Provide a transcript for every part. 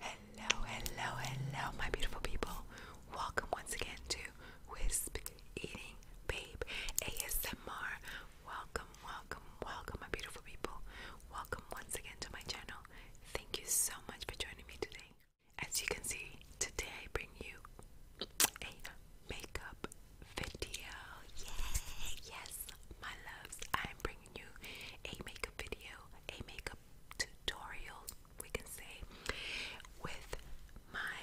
Hello, hello, hello, my beautiful people. Welcome once again to Wisp Eating Babe ASMR. Welcome, welcome, welcome, my beautiful people. Welcome once again to my channel. Thank you so much for joining me today. As you can see, today I bring you a makeup video. Yay! Yes, my loves, I'm bringing you a makeup video, a makeup tutorial, we can say, with my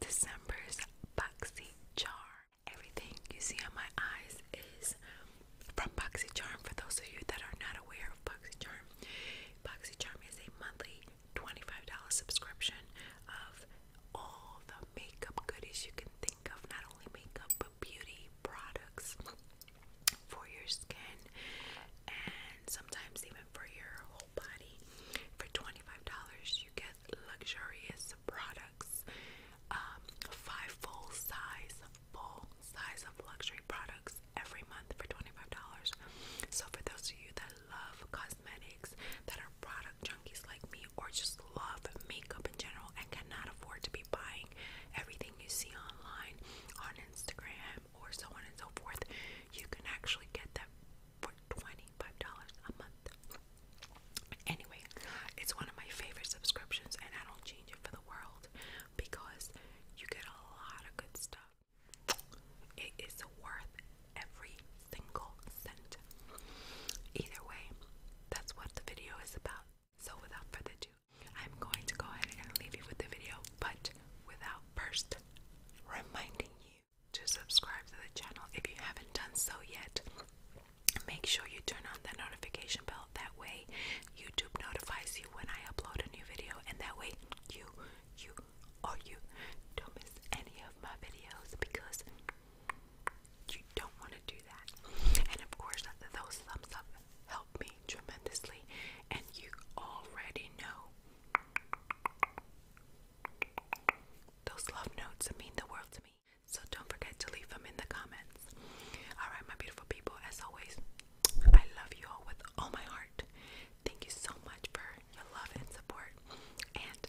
December's Boxy Charm. Everything you see on my eyes is from Boxy Charm. For those of you that are not aware of Boxy Charm, Boxy Charm is a monthly $25 subscription of all the makeup goodies you can think of, not only makeup but beauty products for your skin and sometimes even for your whole body. For $25, you get luxurious products, um, five full size, full size of luxury products every month for $25. So, for those of you that love cosmetics, that are product junkies like me, or just love makeup in general and cannot afford to be buying everything you see online, on Instagram, or so on and so forth, you can actually get that for $25 a month. Anyway, it's one of my favorite subscriptions, and I don't change it for the world because you get a lot of good stuff. It is worth every single cent. Either way, that's what the video is about. So, without further ado, I'm going to go ahead and leave you with the video, but without first reminding you to subscribe to the channel if you haven't done so yet. Make sure you turn on that notification bell. That way, YouTube notifies you when I upload a new video, and that way, you you or you don't miss any of my videos because you don't want to do that. And of course, those thumbs up help me tremendously. And you already know those love notes mean the world to me. So don't forget to leave them in the comments. Alright, my beautiful people, as always, I love you all with all my heart. Thank you so much for your love and support. And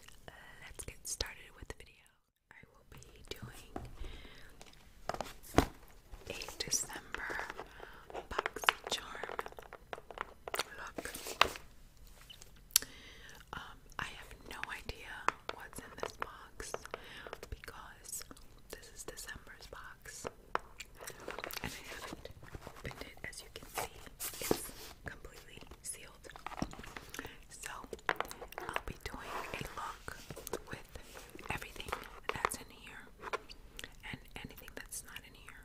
let's get started with the video. I will be doing a December BoxyCharm look. Um, I have no idea what's in this box because this is December's box. And I haven't opened it as you can see it's completely sealed. So I'll be doing a look with everything that's in here and anything that's not in here.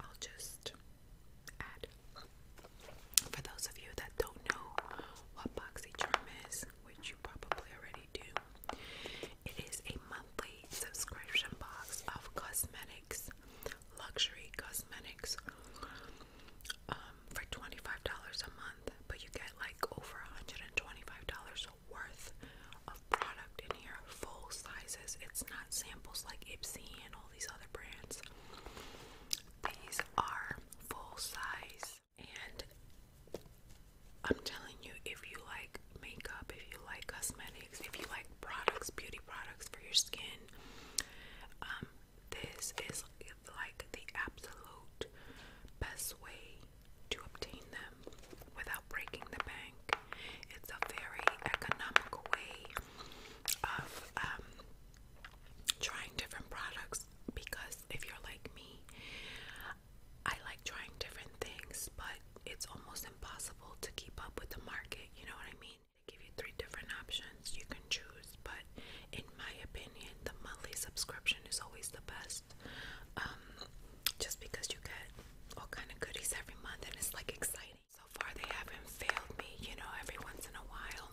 I'll just add. For those of you that don't know what BoxyCharm is, which you probably already do, it is a monthly subscription box of cosmetics luxury cosmetics um, for $25 a month, but you get like over $125 worth of product in here, full sizes. It's not samples like Ipsy and all these other brands. These are full size, and I'm telling you, if you like makeup, if you like cosmetics, if you like products, beauty products for your skin. Um, this is like the absolute best way to obtain them without breaking the bank. It's a very economical way of um, trying different products because if you're like me, I like trying different things, but it's almost impossible to keep up with the market. You know what I mean they give you three different options you can choose, but in my opinion, the monthly subscription is always the best. Um, just because you get all kind of goodies every month and it's like exciting. So far, they haven't failed me. You know, every once in a while,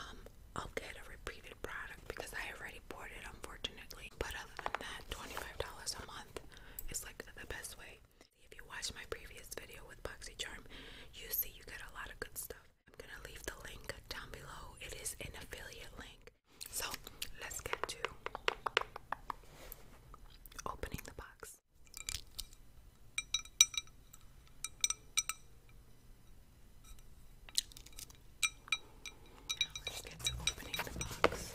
um, I'll get a repeated product because I already bought it, unfortunately. But other than that, $25 a month is like the best way. If you watch my previous video with BoxyCharm, you see you get a lot of good stuff. I'm gonna leave the link down below. It is an affiliate link. So let's get to opening the box. Now let's get to opening the box.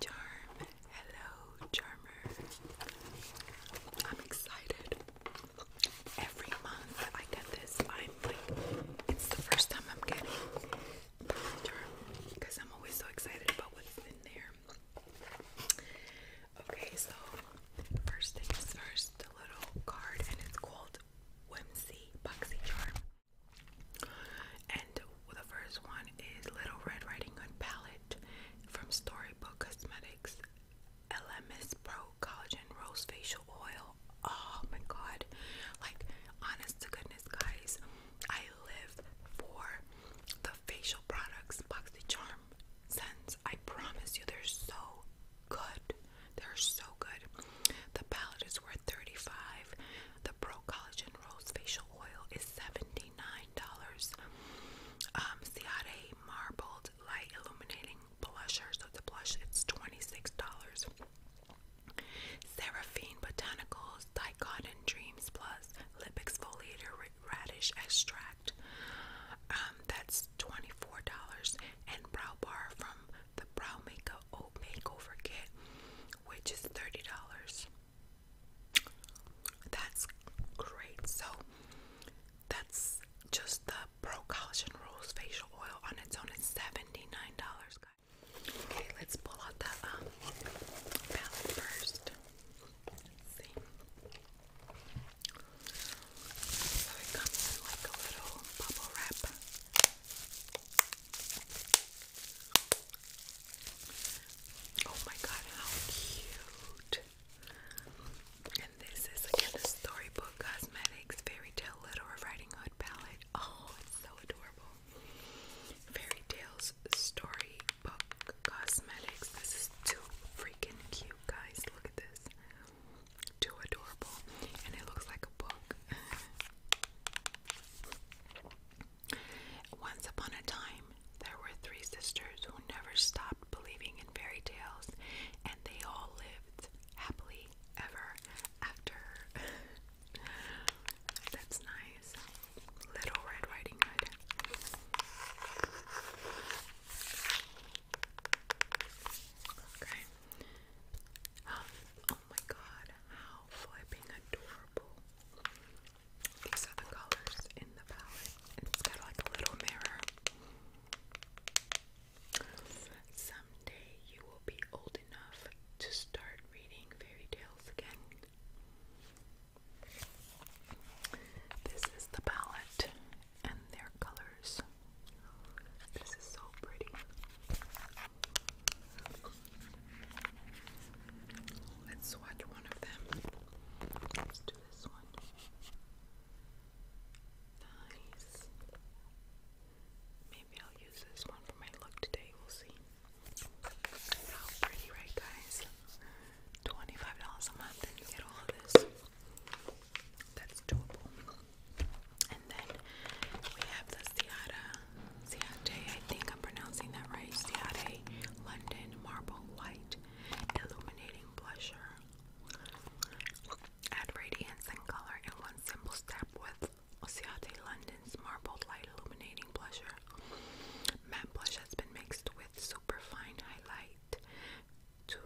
Charm. Hello, Charmer. I'm excited. Every month I get this. I'm like, it's the first time I'm getting Charm because I'm always so excited about what's in there. Okay, so first things first, a little card, and it's called Whimsy Boxy Charm. And the first one is Little Red Riding Hood Palette from Storybook Cosmetics LMS Pro Collagen Rose Facial Oil. Oh my god. Like, honest to goodness, guys, I live for the facial products BoxyCharm scents. I promise you, they're so good. They're so good. The palette is worth $35. The Pro Collagen Rose Facial Oil is $79. Um, Ciate Marbled Light Illuminating Blushers So the blush, it's $26. Seraphine Botanicals Dicotin Dreams Plus Lip Exfoliator Radish Extract. Um, that's $24 and brow bar from the brow makeup makeover kit which is $30 that's great so that's just the pro collagen rose facial oil on its own is $79 guys okay let's pull out the um, palette 1st so it comes in like a little bubble wrap. Oh my god, how cute! And this is again the Storybook Cosmetics Fairy Tale Little Riding Hood palette. Oh, it's so adorable. Fairy Tales Storybook Cosmetics. This is too freaking cute, guys. Look at this too adorable, and it looks like a book. Once upon a time, there were three sisters who never stopped believing in fairy tales, and they all lived happily ever after. That's nice. Little Red Riding Hood. Okay. Um, oh my god, how flipping adorable. These are colors in the palette. It's got like a little mirror. Someday you will be old enough to start reading fairy tales again. This is the palette and their colors. This is so pretty. Let's swatch one of them. Let's this one. Nice. Maybe I'll use this one for my look today. We'll see. How pretty, right, guys? $25 a month, and you get all of this. That's doable. And then we have the Ciata, Ciate, I think I'm pronouncing that right, Ciate London Marble White Illuminating Blusher. Add radiance and color in one simple step with Ciate London's Marble Light Illuminating Blusher. Matte blush has been mixed with superfine highlight Two,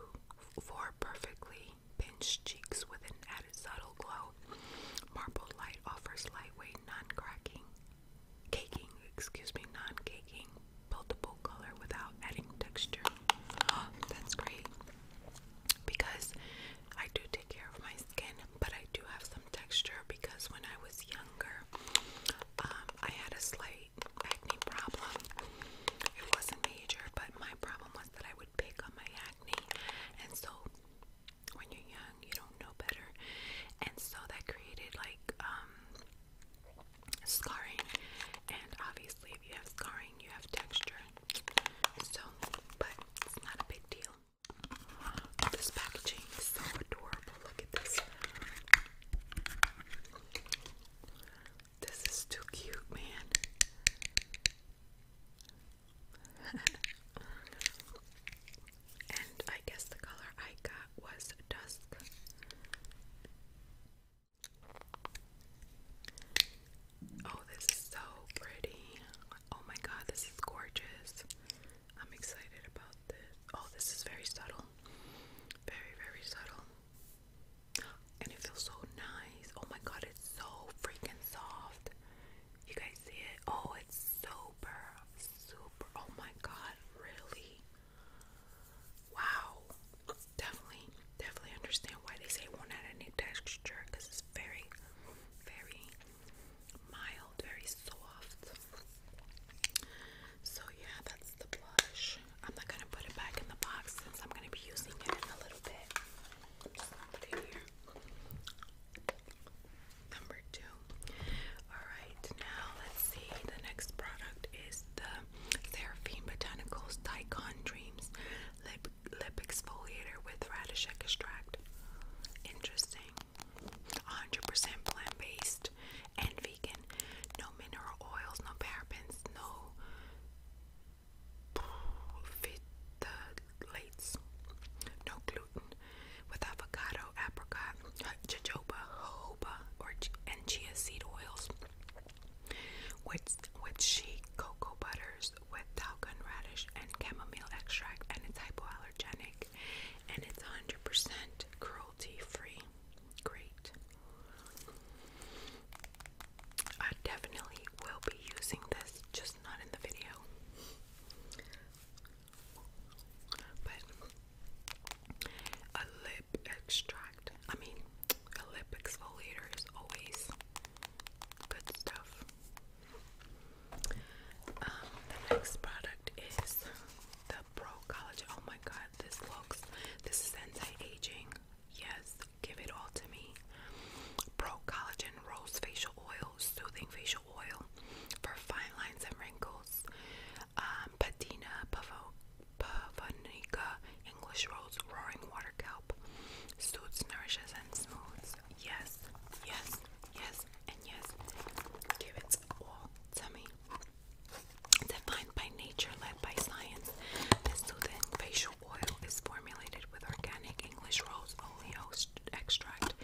four perfectly pinched cheeks with an added subtle glow. Marble Light offers lightweight, non-cracking, caking, excuse me, non-caking, buildable color without adding texture. that's great because I do take care of my skin, but I do have some texture because when I was younger, um, I had a slight acne problem. It wasn't major, but my problem was that I would pick on my acne, and so when you're young, you don't know better, and so that created like um, scarring, and obviously if you have scarring, you have texture. So, but it's not a big deal. This packaging is so adorable. Look at this. This is too cute, man. and I guess the color I got was Dusk. Oh, this is so pretty. Oh my god, this is gorgeous. I'm excited about this. Oh, this is very subtle. Very, very subtle and it feels so nice. Oh my god, it's so freaking soft. You guys see it? Oh, it's super, super. Oh my god, really? Wow. Definitely, definitely understand why they say one had a new texture because it's very, very mild, very soft. So, yeah, that's the blush. I'm not gonna put it back in the box since I'm gonna be using it in a little bit. Number two. Alright, now let's see. The next product is the Seraphine Botanicals Daikon Dreams Lip Lip Exfoliator with Radish Extract. Interesting. 100% plant based and no mineral oils, no parabens, no phthalates, no gluten, with avocado, apricot, jojoba, jojoba, or and chia seed oils, with with shea cocoa butters, with talcum radish and chamomile extract, and it's hypoallergenic, and it's 100% cruelty free. Great. I definitely will be using this, just not in the video. But a lip extract, I mean, a lip exfoliator is always good stuff. Um, the next product is the Pro Collagen. Oh my god, this looks, this is anti aging. Yes, give it all to me. Pro Collagen Rose Facial Oil, Soothing Facial Oil for fine lines and wrinkles. Um, Patina Pavonica English Rose Roaring Water Kelp. Soothes, nourishes, and smooths. Yes, yes, yes, and yes. Give it all to me. Defined by nature, led by science, this soothing facial oil is formulated with organic English rose oleo extract,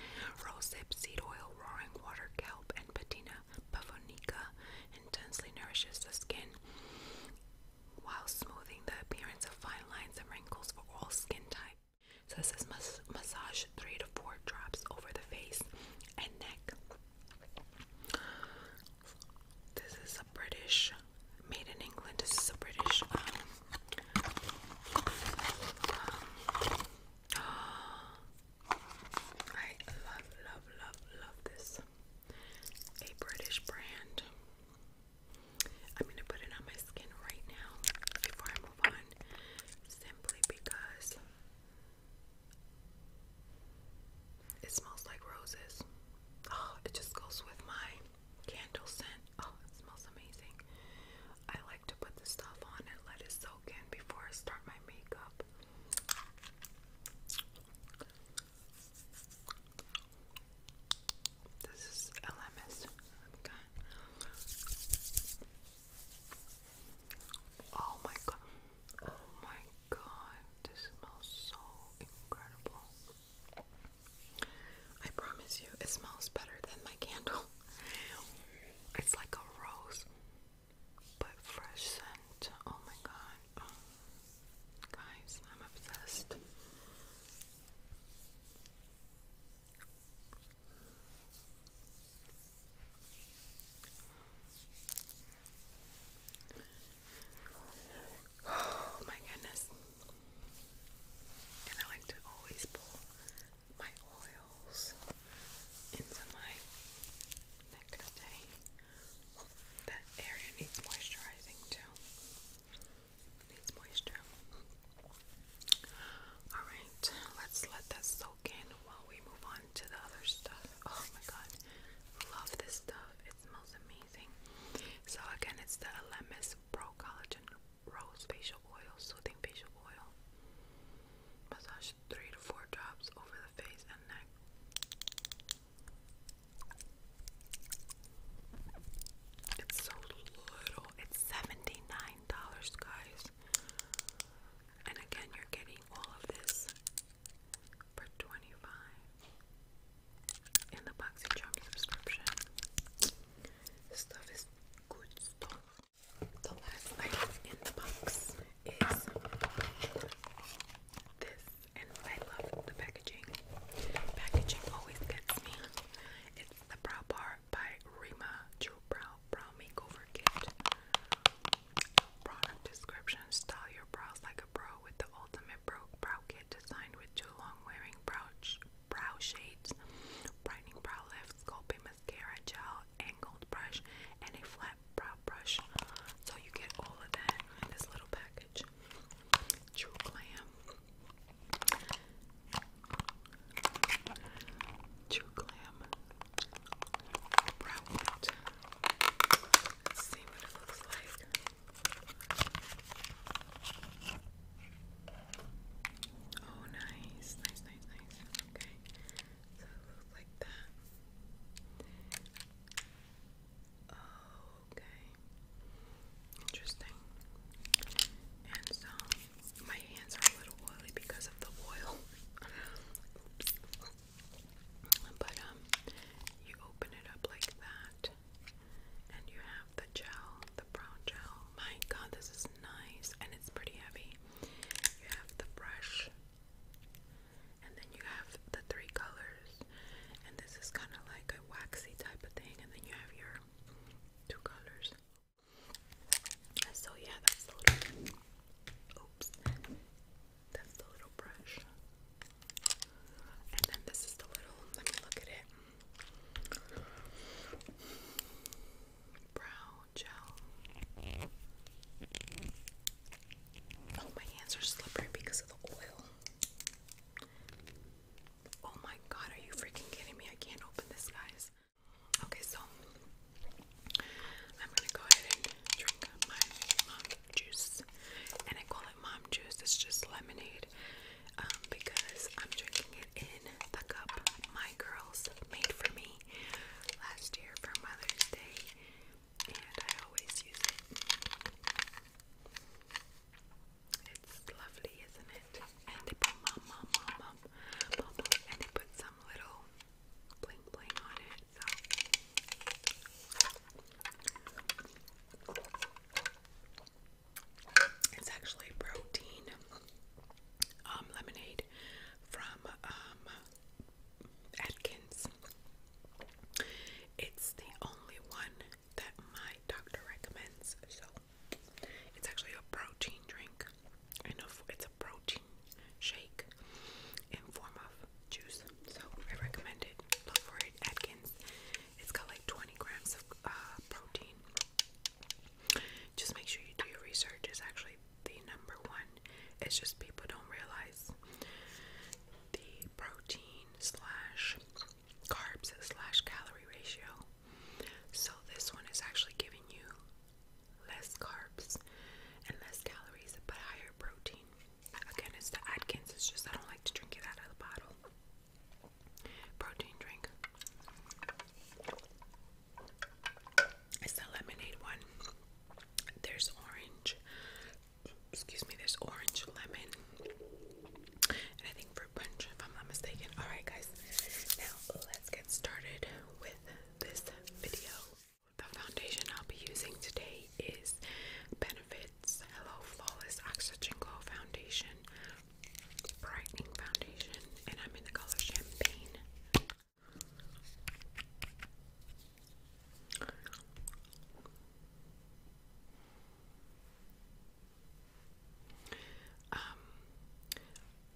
rosehip seed oil, roaring water, kelp, and patina pavonica. Intensely nourishes the skin while smoothing the appearance of fine lines and wrinkles for all skin types. So this is massage three to four drops over the face and neck. This is a British, made in England. This is a British. Um, um, I love, love, love, love this. A British brand. I'm gonna put it on my skin right now before I move on, simply because it smells like roses. Oh, it just goes with my candle scent. Oh, it smells amazing. I like to put the stuff on and let it soak in before I start my makeup. This is LMS. Okay. Oh my god. Oh my god, this smells so incredible. I promise you, it smells better than my candle. It's like a rose, but fresh scent. Oh my god. Oh. Guys, I'm obsessed. Oh my goodness. And I like to always pull my oils into my neck today. That area needs moisturizing too. Needs moisture. Alright, let's let that soak in while we move on to the other stuff. Oh my god. Love this stuff smells amazing. So again, it's the Elemis Pro Collagen Rose Facial Oil, Soothing Facial Oil. Massage three to four drops over the face and neck. It's so little. It's $79, guys. And again, you're getting all of this for 25 in the BoxyCharm subscription. This stuff is good stuff. The last item in the box is this, and I love the packaging. Packaging always gets me. It's the Brow Bar by Rima True Brow Brow Makeover Kit. Product description. Style your brows like a pro with the ultimate bro brow kit designed with two long-wearing brow, brow shades, brightening brow lift, sculpting mascara gel, angled brush, and a flat brow brush. So you get all of that in this little package. True Glam. True Glam. Brow kit. Let's see what it looks like. Oh, nice, nice, nice, nice. Okay, so it looks like that. Oh, okay, interesting. And so, my hands are a little oily because of the oil. But um, you open it up like that, and you have the gel, the brown gel. My God, this is nice, and it's pretty heavy. You have the brush, and then you have the three colors, and this is kind of like a waxy type of thing, and then you have your two colors. So yeah, that's Oops. That's the little brush. And then this is the little, let me look at it. Brow gel. Oh, my hands are slippery because of the oil. Oh my god, are you freaking kidding me? I can't open this, guys. Okay, so I'm gonna go ahead and drink my mom juice. And I call it mom juice, it's just lemonade um, because I'm drinking it in the cup my girls made for me last year for Mother's Day. And I always use it. It's lovely, isn't it? And they put mom, mom, mom, mom, mom, and they put some little bling bling on it it's actually protein um, lemonade from um, Atkins. It's the only one that my doctor recommends, so it's actually a protein drink, and it's a protein shake in form of juice so I recommend it. Look for it, Atkins. It's got like 20 grams of uh, protein. Just make sure you do your research. It's actually the number one. It's just people don't realize the protein slash carbs slash calorie ratio. So this one is actually giving you less carbs and less calories, but higher protein. Again, it's the Atkins. It's just I don't like to drink it out of the bottle. Protein drink. It's the lemonade one. There's orange. Excuse me, there's orange, lemon, and I think fruit punch, if I'm not mistaken. Alright, guys, now let's get started with this video. The foundation I'll be using today is Benefits Hello Flawless Oxygen Glow Foundation, Brightening Foundation, and I'm in the color Champagne. Um,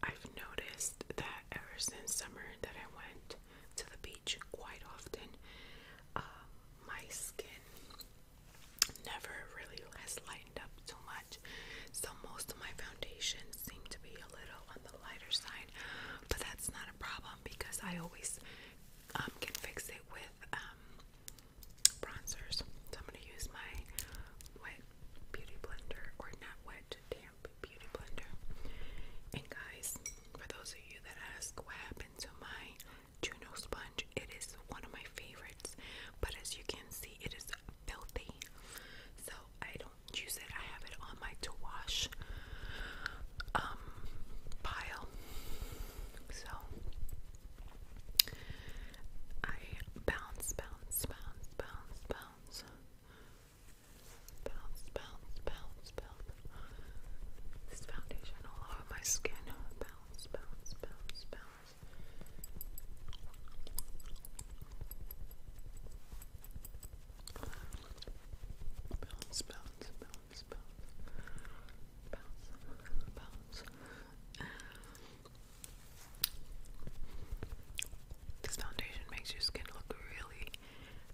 I've noticed that ever since summer that I went to the beach quite often, um, my skin never really has lightened up too much. So most of my foundations seem to be a little on the lighter side, but that's not a problem because I always um, can fix it with um, bronzers. So I'm gonna use my wet beauty blender, or not wet, damp beauty blender. And guys, for those of you that ask what happened to my Juno sponge, it is one of my favorites, but as you can see, it is filthy. So I don't use it. I have it on my to wash um pile. So I bounce, bounce, bounce, bounce, bounce. Bounce, bounce, bounce, bounce, this foundation all over my skin. Bounce, bounce, bounce, bounce. Bounce, bounce, bounce, This foundation makes your skin look really,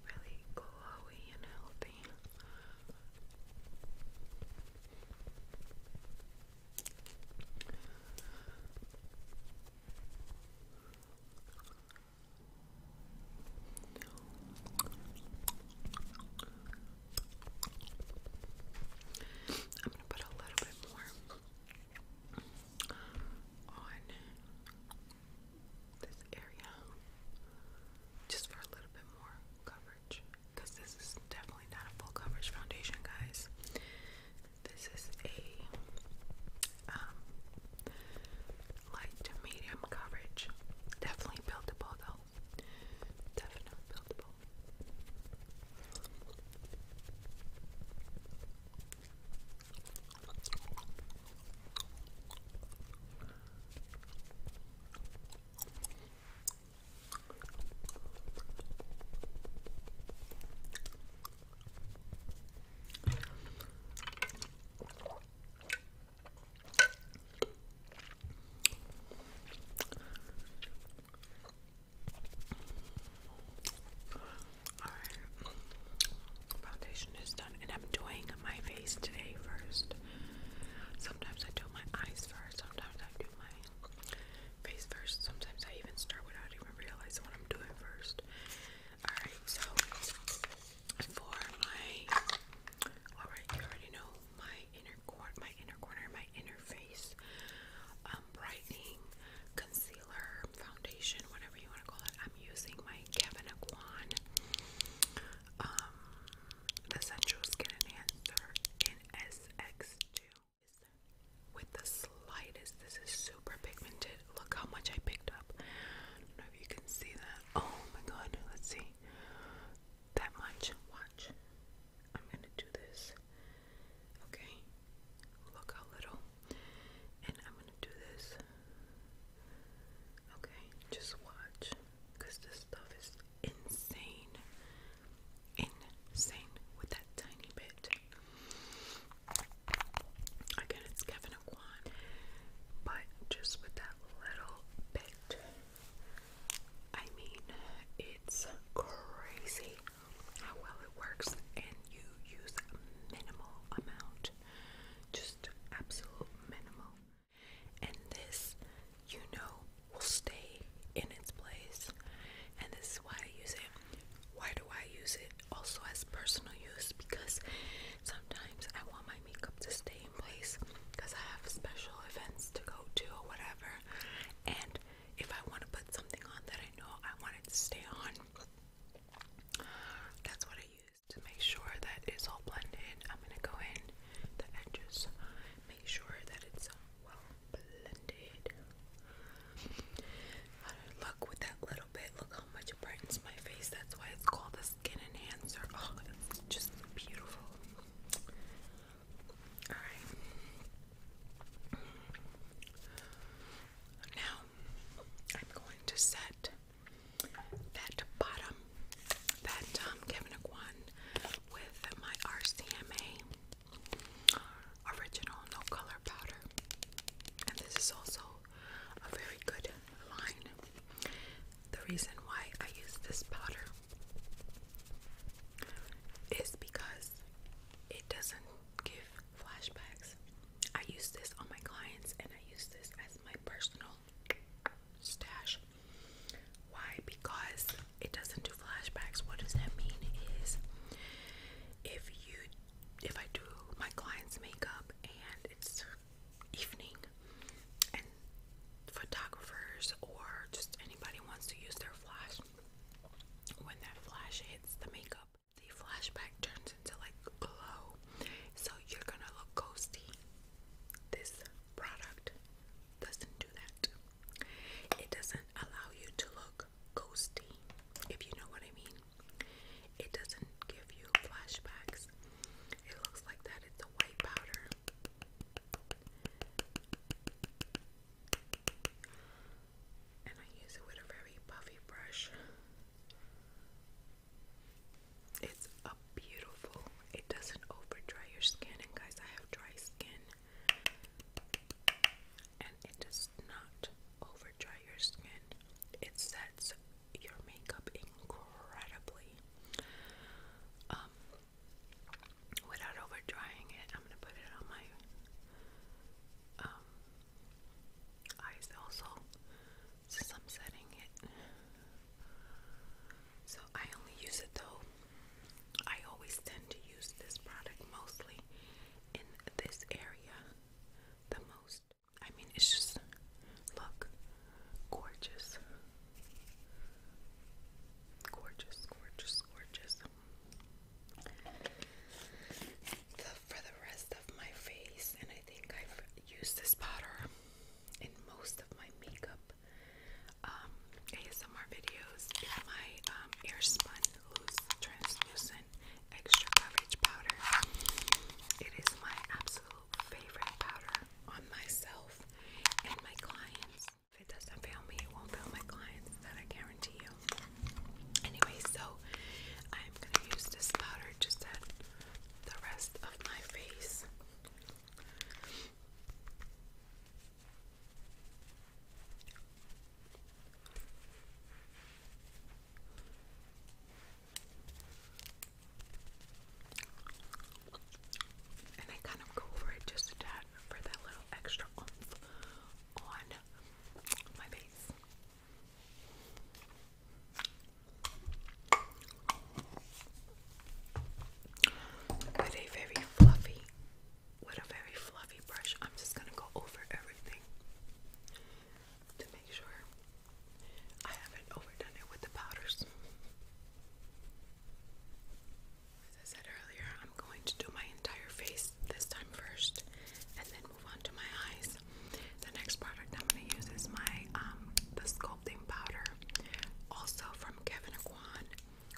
really glowy and healthy. I'm going to put a little bit more on this area just for a little bit more coverage because this is definitely not a full coverage foundation, guys. This is a um, light to medium coverage, definitely buildable though. Definitely buildable. All right. Foundation foundation done, and I'm doing my face today first. Sometimes I do my eyes first, sometimes I do my face first, sometimes I even start without even realizing what I'm doing first. Alright, so for my alright, you already know my inner corner my inner face, um brightening, concealer, foundation, whatever you want to call it. I'm using my Kevin Aquan um, the Central Skin Enhancer in SX2 with the slightest. This is super pigmented. Look how much I picked up. I don't know if you can see that. Oh my god, let's see. That much. Watch. I'm gonna do this. Okay. Look how little. And I'm gonna do this. Okay, just watch because this stuff is insane. Insane with that tiny bit. Again, it's Kevin Aquan, but just with that little bit. I mean, it's crazy how well it works, and you use a minimal amount, just absolute minimal and this you know will stay in its place and this is why I use it. Why do I use it also as personal use? Because sometimes I want my makeup to stay in place because I have special events to go to or whatever and if I want to put something on that I know I want it to stay on that's what I use is to make sure that it's all blended. I'm gonna go in the edges, make sure that it's um, well blended. Look with that little bit. Look how much it brightens my face. That's why it's called the skin enhancer. Oh, it's just beautiful. All right. Now I'm going to set that bottom that um, Kevinick with my RCMA original no color powder, and this is also a very good line. The reason why I use this powder is because it doesn't give flashbacks. I use this on my clients and I use this as my personal stash. Why? Because it doesn't do flashbacks. What does that mean? Is if you if I do my client's makeup and it's evening and photographers or just anybody wants to use their flash when that flash hits the makeup the flashback turns into like glow so you're gonna look ghosty this product doesn't do that. It doesn't allow you to look ghosty, if you know what I mean. It doesn't give you flashbacks. It looks like that. It's a white powder. And I use it with a very puffy brush. It's a beautiful. It doesn't over dry your skin, and guys, I have dry skin, and it does not over dry your skin. It sets your makeup incredibly. Um, without over drying it, I'm gonna put it on my um, eyes also I'm setting it. So I only use it though. I always tend to use this product mostly in this area the most. I mean, it's just look gorgeous. Gorgeous, gorgeous, gorgeous. for the rest of my face, and I think I've used this powder in most of my makeup um, ASMR videos my um, Airspun Loose Translucent Extra Coverage Powder. It is my absolute favorite powder on myself and my clients. If it doesn't fail me, it won't fail my clients, that I guarantee you. Anyway, so I'm going to use this powder just at the rest of my face. And I kind of go over it just a tad for that little extra on my face. With a very fluffy, with a very fluffy brush, I'm just gonna go over everything to make sure I haven't overdone it with the powders. As I said earlier, I'm going to do my entire face this time first and then move on to my eyes. The next product I'm gonna use is my um, the sculpting powder, also from Kevin Aquan,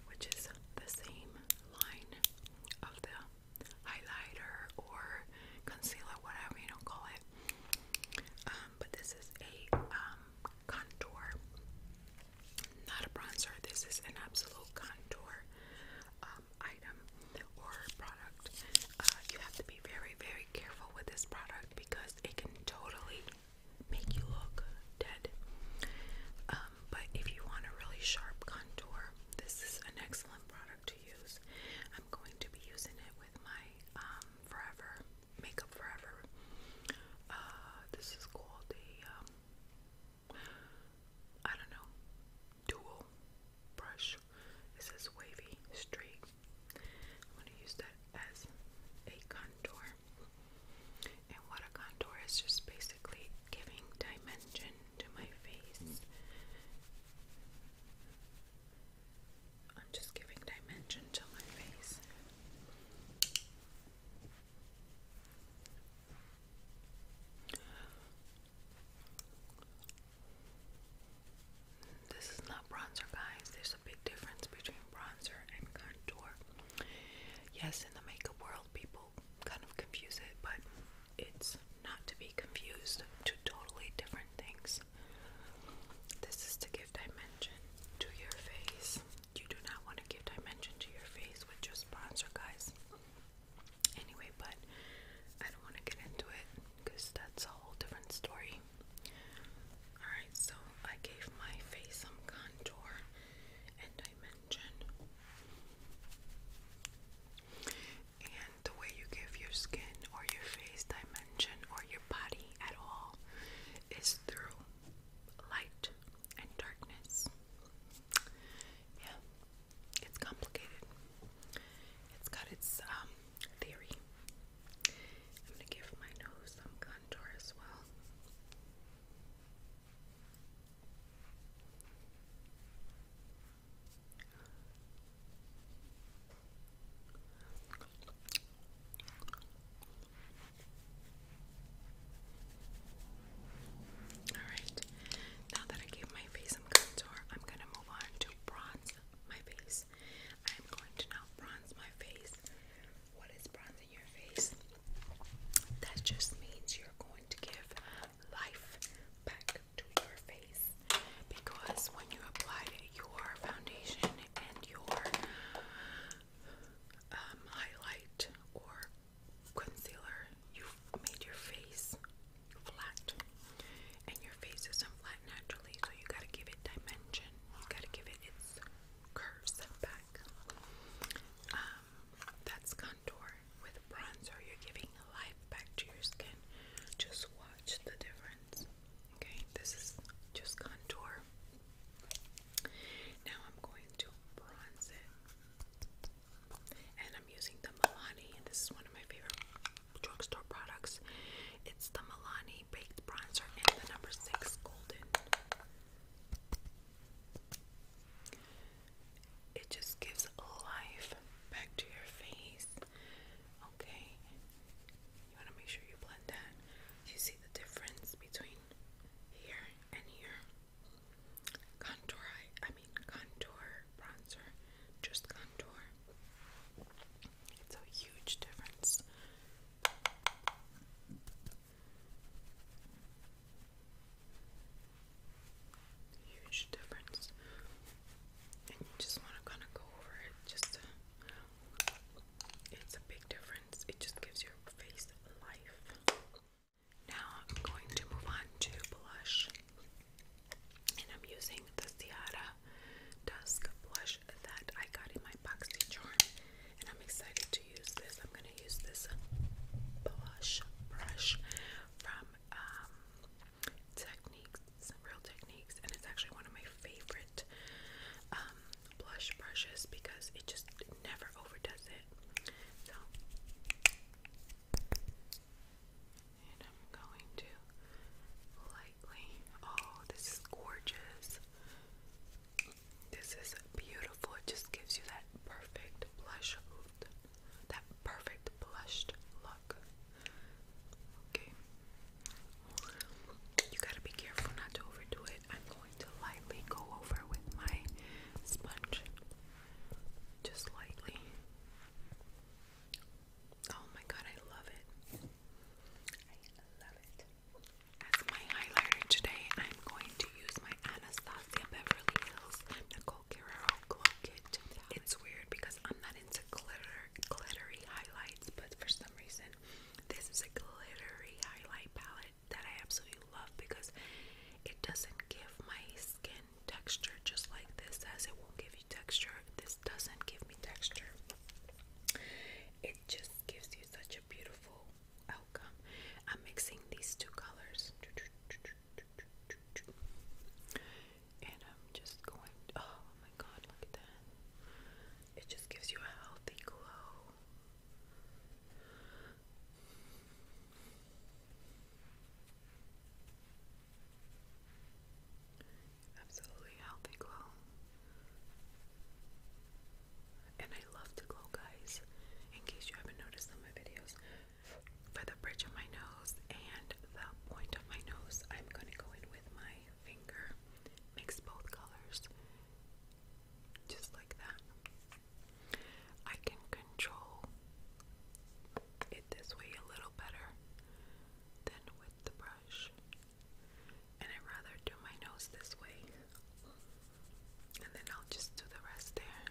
which is the same line of the highlighter or concealer, whatever you don't call it. Um, but this is a um, contour, not a bronzer. This is an absolute contour item or product. Uh, you have to be very, very careful with this product because it can totally make you look dead. Um, but if you want a really sharp contour, this is an excellent product to use. I'm going to be using it with my um, Forever Makeup Forever. Uh, this is called the um, don't know dual brush. This is wavy straight I'm going to use that as a contour. And what a contour is just basically giving dimension to my face. I'm just giving dimension to my face. This is not bronzer, guys. There's a big difference between bronzer and contour. Yes, in the makeup world, people kind of confuse it, but it's not to be confused. to totally different things. This is to give dimension to your face. You do not want to give dimension to your face with just bronzer, guys. Anyway, but I don't want to get into it because that's a whole different story. Alright, so I gave my face some contour and dimension. And the way you give your skin or your face dimension or your body at all is through light and darkness. Yeah, it's complicated. It's got its um, theory. I'm going to give my nose some contour as well. Alright, now that I gave my face some contour, I'm gonna move on to bronze my face. I'm going to now bronze my face. What is bronzing your face? That just means you're going to give life back to your face because when you applied your foundation and your um, highlight or concealer, you've made your face flat, and your face isn't flat naturally, so you gotta give it dimension. You gotta give it its curves back. Um, that's contour. With bronzer, you're giving life back to your skin. Just watch the difference. Okay, this is just contour. Now I'm going to bronze it. And I'm using the Milani. This is one of my favorite drugstore products. It's the Milani Baked Bronzer and the number 6 Golden. It just gives life back to your face. Okay? You want to make sure you blend that. You see the difference between here and here. Contour, I mean, contour bronzer. Just contour. It's a huge difference. Huge difference. And you just want to kind of go over it just It's a big difference. It just gives your face life. Now I'm going to move on to blush. And I'm using the Ciara Dusk blush that I got in my boxy charm, and I'm excited to use this. I'm gonna use this blush brush from um, Techniques, Real Techniques, and it's actually one of my favorite um, blush brushes because it just never overdoes it. So, and I'm going to. Oh, this is gorgeous. This is beautiful. It just gives you that perfect blush, that perfect blushed look. Okay. You gotta be careful not to overdo it. I'm going to lightly go over with my sponge. Just lightly. Oh my god, I love it. As my highlighter today, I'm going to use my Anastasia Beverly Hills Nicole Guerrero Glow It's weird because I'm not into glitter, glittery highlights, but for some reason, this is a glittery highlight palette that I absolutely love because it doesn't give my skin texture just like this as it won't give you texture. This doesn't give me texture. It just gives you such a beautiful outcome. I'm mixing these two colors. And I'm just going, oh my god, look at that. It just gives you a healthy glow absolutely healthy glow. And I love to glow, guys, in case you haven't noticed on my videos. For the bridge of my nose and the point of my nose, I'm gonna go in with my finger, mix both colors, just like that. I can control it this way a little better than the brush. And i rather do my nose this way. And then I'll just do the rest there.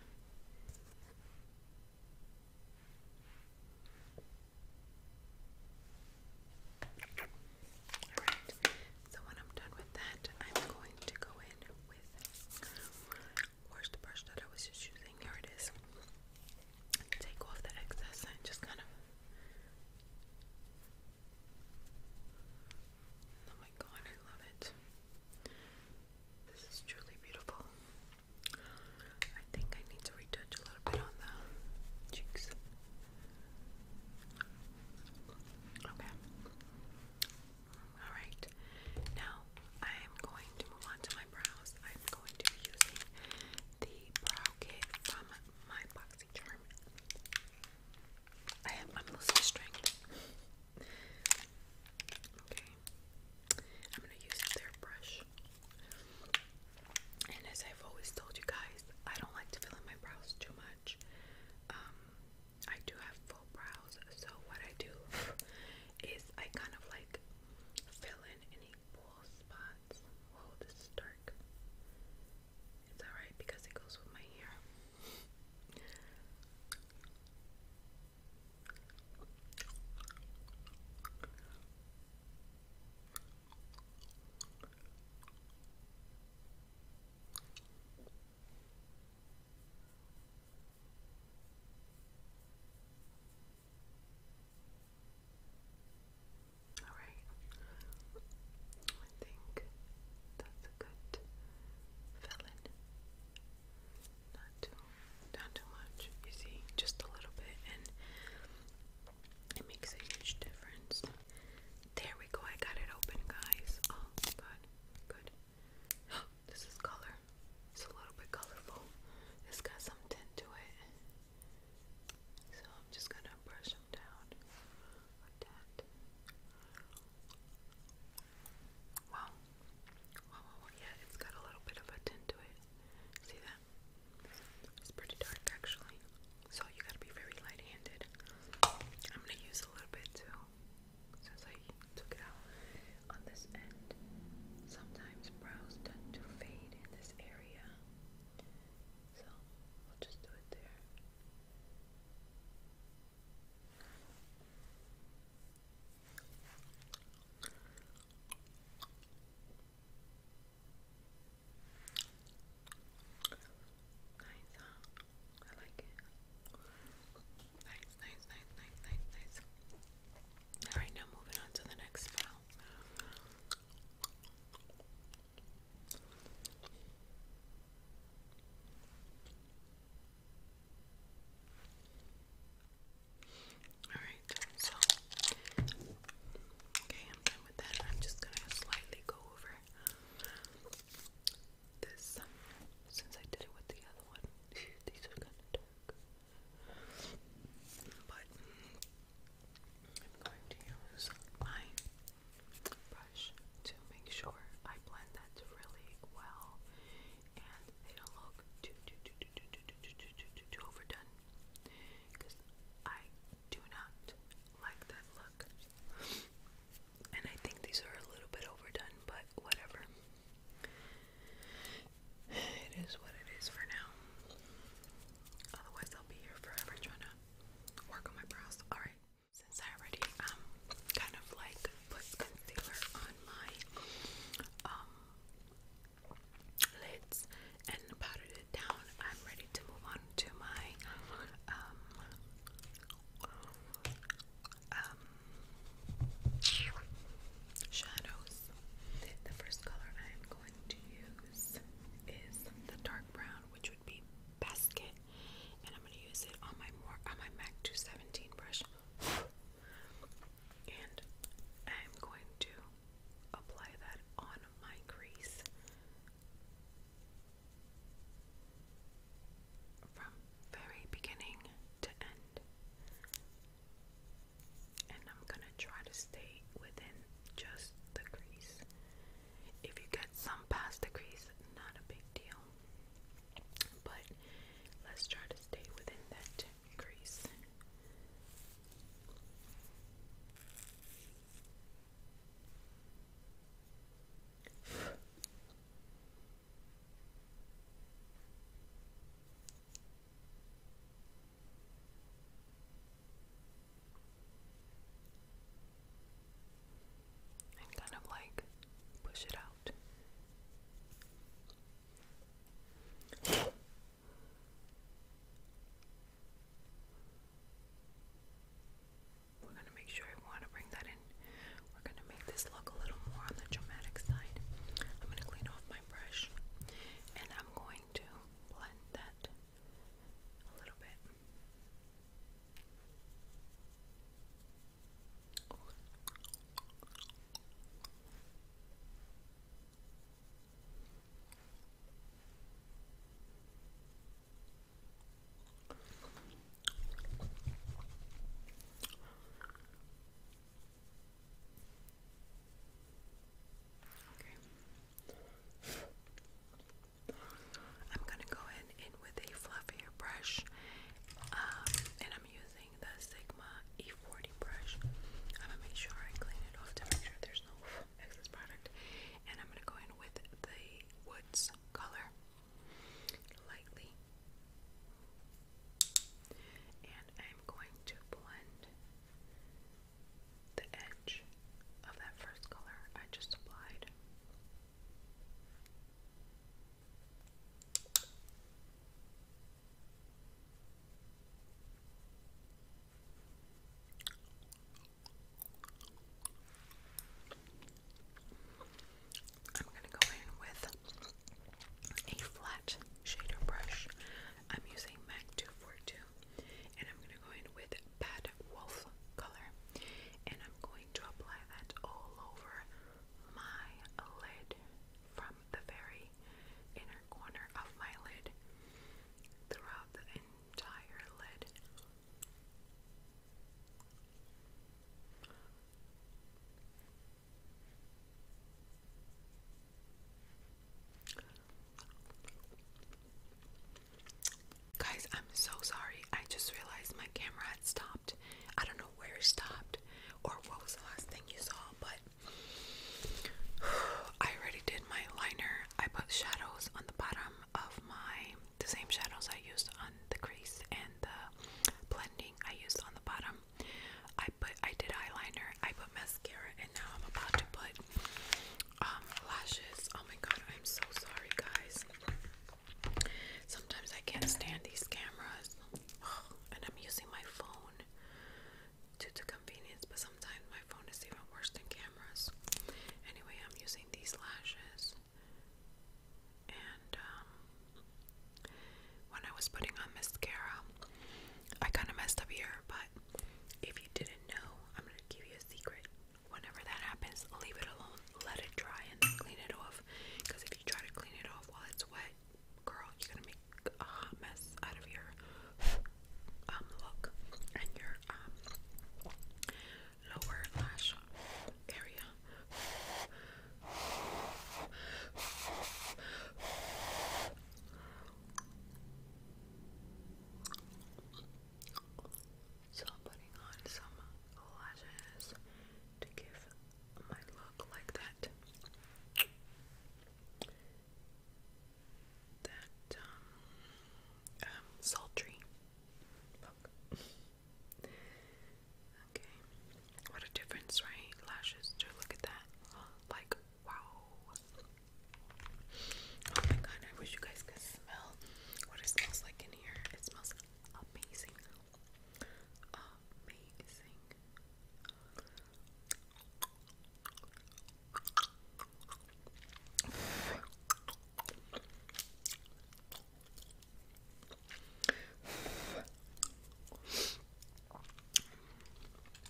Alright, so when I'm done with that, I'm going to go in with where's the brush that I was just using? Here it is. Take off the excess and just kind of Oh my god, I love it. This is truly beautiful. I think I need to retouch a little bit on the cheeks. Okay. Alright. Now I am going to move on to my brows. I'm going to using the brow kit from my box I have. I'm losing strength. okay. I'm gonna use their brush. And as I've always told you guys, I don't like to fill in my brows too much. Um, I do have full brows, so what I do is I kind of like fill in any full spots. Whoa, this is dark. It's alright because it goes with my hair. Alright. I think that's a good filling. Not too not too much, you see, just a little bit and it makes a huge difference. There we go, I got it open guys. Oh god, good. This is color. It's a little bit colorful. It's got some tint to it. So I'm just going to brush them down Wow, wow, wow. Yeah, it's got a little bit of a tint to it. See that? It's pretty dark actually. So you gotta be very light handed. I'm gonna use a little bit too. Since I took it out on this end. Sometimes brows tend to fade in this area. So we'll just do it there. Nice, huh? I like it. Nice, nice, nice, nice, nice, nice. Alright, now moving on to the next spell. Alright, so okay, I'm done with that. I'm just gonna slightly go over this since I did it with the other one. These are kinda dark. But I'm going to use my brush to make sure I blend that really well and they don't look too too too too too too too too too, too, overdone because I do not like that look and I think these are a little bit overdone but whatever it is what it is for now otherwise I'll be here forever trying to work on my brows. Alright, since I already um kind of like put concealer on my um lids and powdered it down, I'm ready to move on to my um um shadows. The first color I am to use is the dark brown, which would be basket, and I'm going to use it on my on my MAC 217 brush. And I'm going to apply that on my crease from very beginning to end. And I'm going to try to stay within just the crease. If you get some past the crease, not a big deal. But let's try to stay within that crease and kind of like push it out. We're going to make sure we want to bring that in. We're going to make this look a little more on the dramatic side. I'm going to clean off my brush and I'm going to blend that a little bit. Okay. I'm gonna go in, in with a fluffier brush, um, and I'm using the Sigma E40 brush. I'm gonna make sure I clean it off to make sure there's no excess product, and I'm gonna go in with the Woods color lightly, and I'm going to blend the edge of that first color I just applied. I'm going to go in with a flat shader brush I'm using MAC 242 and I'm going to go in with Bad Wolf color and I'm going to apply that all over my lid from the very inner corner of my lid throughout the entire lid. Guys, I'm so sorry. I just realized my camera had stopped. I don't know where it stopped or what was the last thing you saw, but I already did my liner. I put shadows on the bottom of my the same shadows I used on the crease and the blending I used on the bottom. I put I did eyeliner, I put mascara, and now I'm about to put um, lashes. Oh my god, I'm so sorry, guys. Sometimes I can't stand these cameras, and I'm using my phone due to convenience, but sometimes my phone is even worse than cameras. Anyway, I'm using these lashes, and um, when I was putting on mascara, I kind of messed up here, but if you didn't know, I'm gonna give you a secret. Whenever that happens, leave it alone, let it dry, and then clean it off. Because if you try to clean it off while it's wet, girl, you're gonna make a hot mess out of your um look and your um lower lash area. So putting on some lashes to give my look like that. That um, um sultry look. okay. What a difference, right? Lashes look at that. Like Wow. Oh my god, I wish you guys could smell what it smells like in here. It smells amazing. Amazing.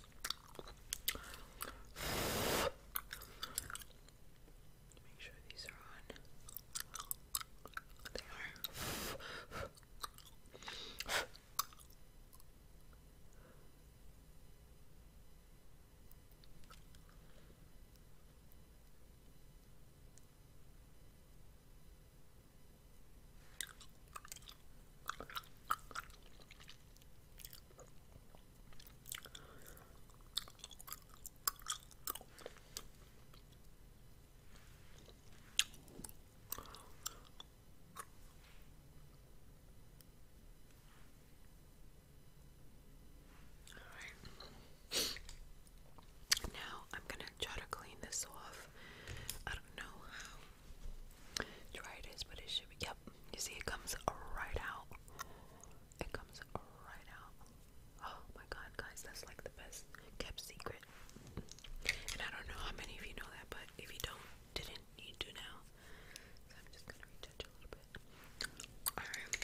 Make sure these are on. They are. Alright. Now I'm gonna try to clean this off. I don't know how dry it is, but it should be you see it comes right out. It comes right out. Oh my god, guys, that's like the best kept secret. And I don't know how many of you know that, but if you don't, didn't, you do now. So I'm just gonna retouch a little bit. Alright.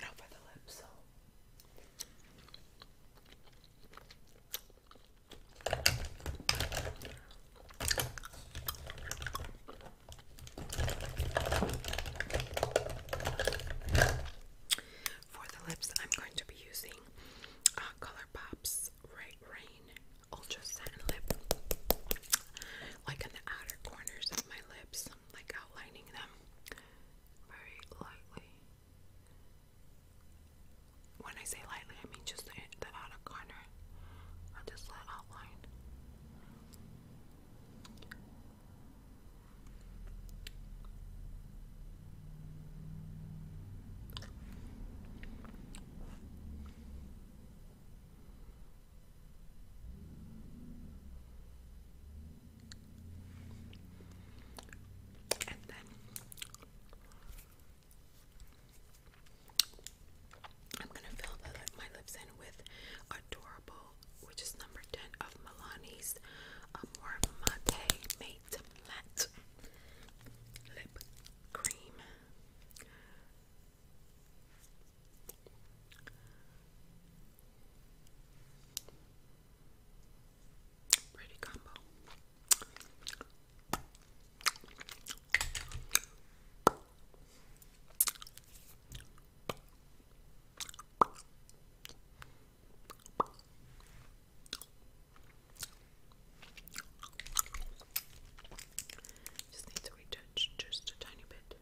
Now for the lips, so. For the lips, I'm going to be using uh, ColourPop's Right Rain Ultra Satin Lip, like in the outer corners of my lips, like outlining them very lightly. When I say lightly, I mean just the, outer corner of this little outline. And then I'm gonna fill my lips in with Adorable, which is number 10 of Milani's Amore Mate Matte Lip Cream. Pretty combo. Just needs to retouch just a tiny bit.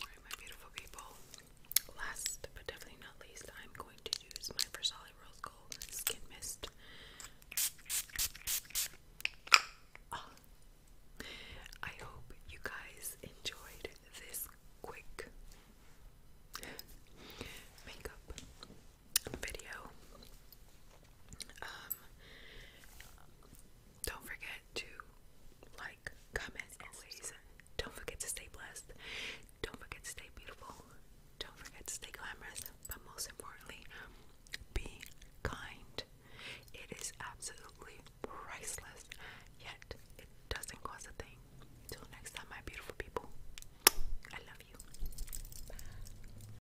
Alright, my beautiful people. Last but definitely not least, I'm going to use my Versace Ah. I hope you guys enjoyed this quick makeup video. Um, don't forget to like, comment, and say, don't forget to stay blessed. Don't forget to stay beautiful. Don't forget to stay glamorous. But most importantly, be kind. It is absolutely priceless, yet it doesn't cost a thing. Till next time, my beautiful people, I love you. Bye.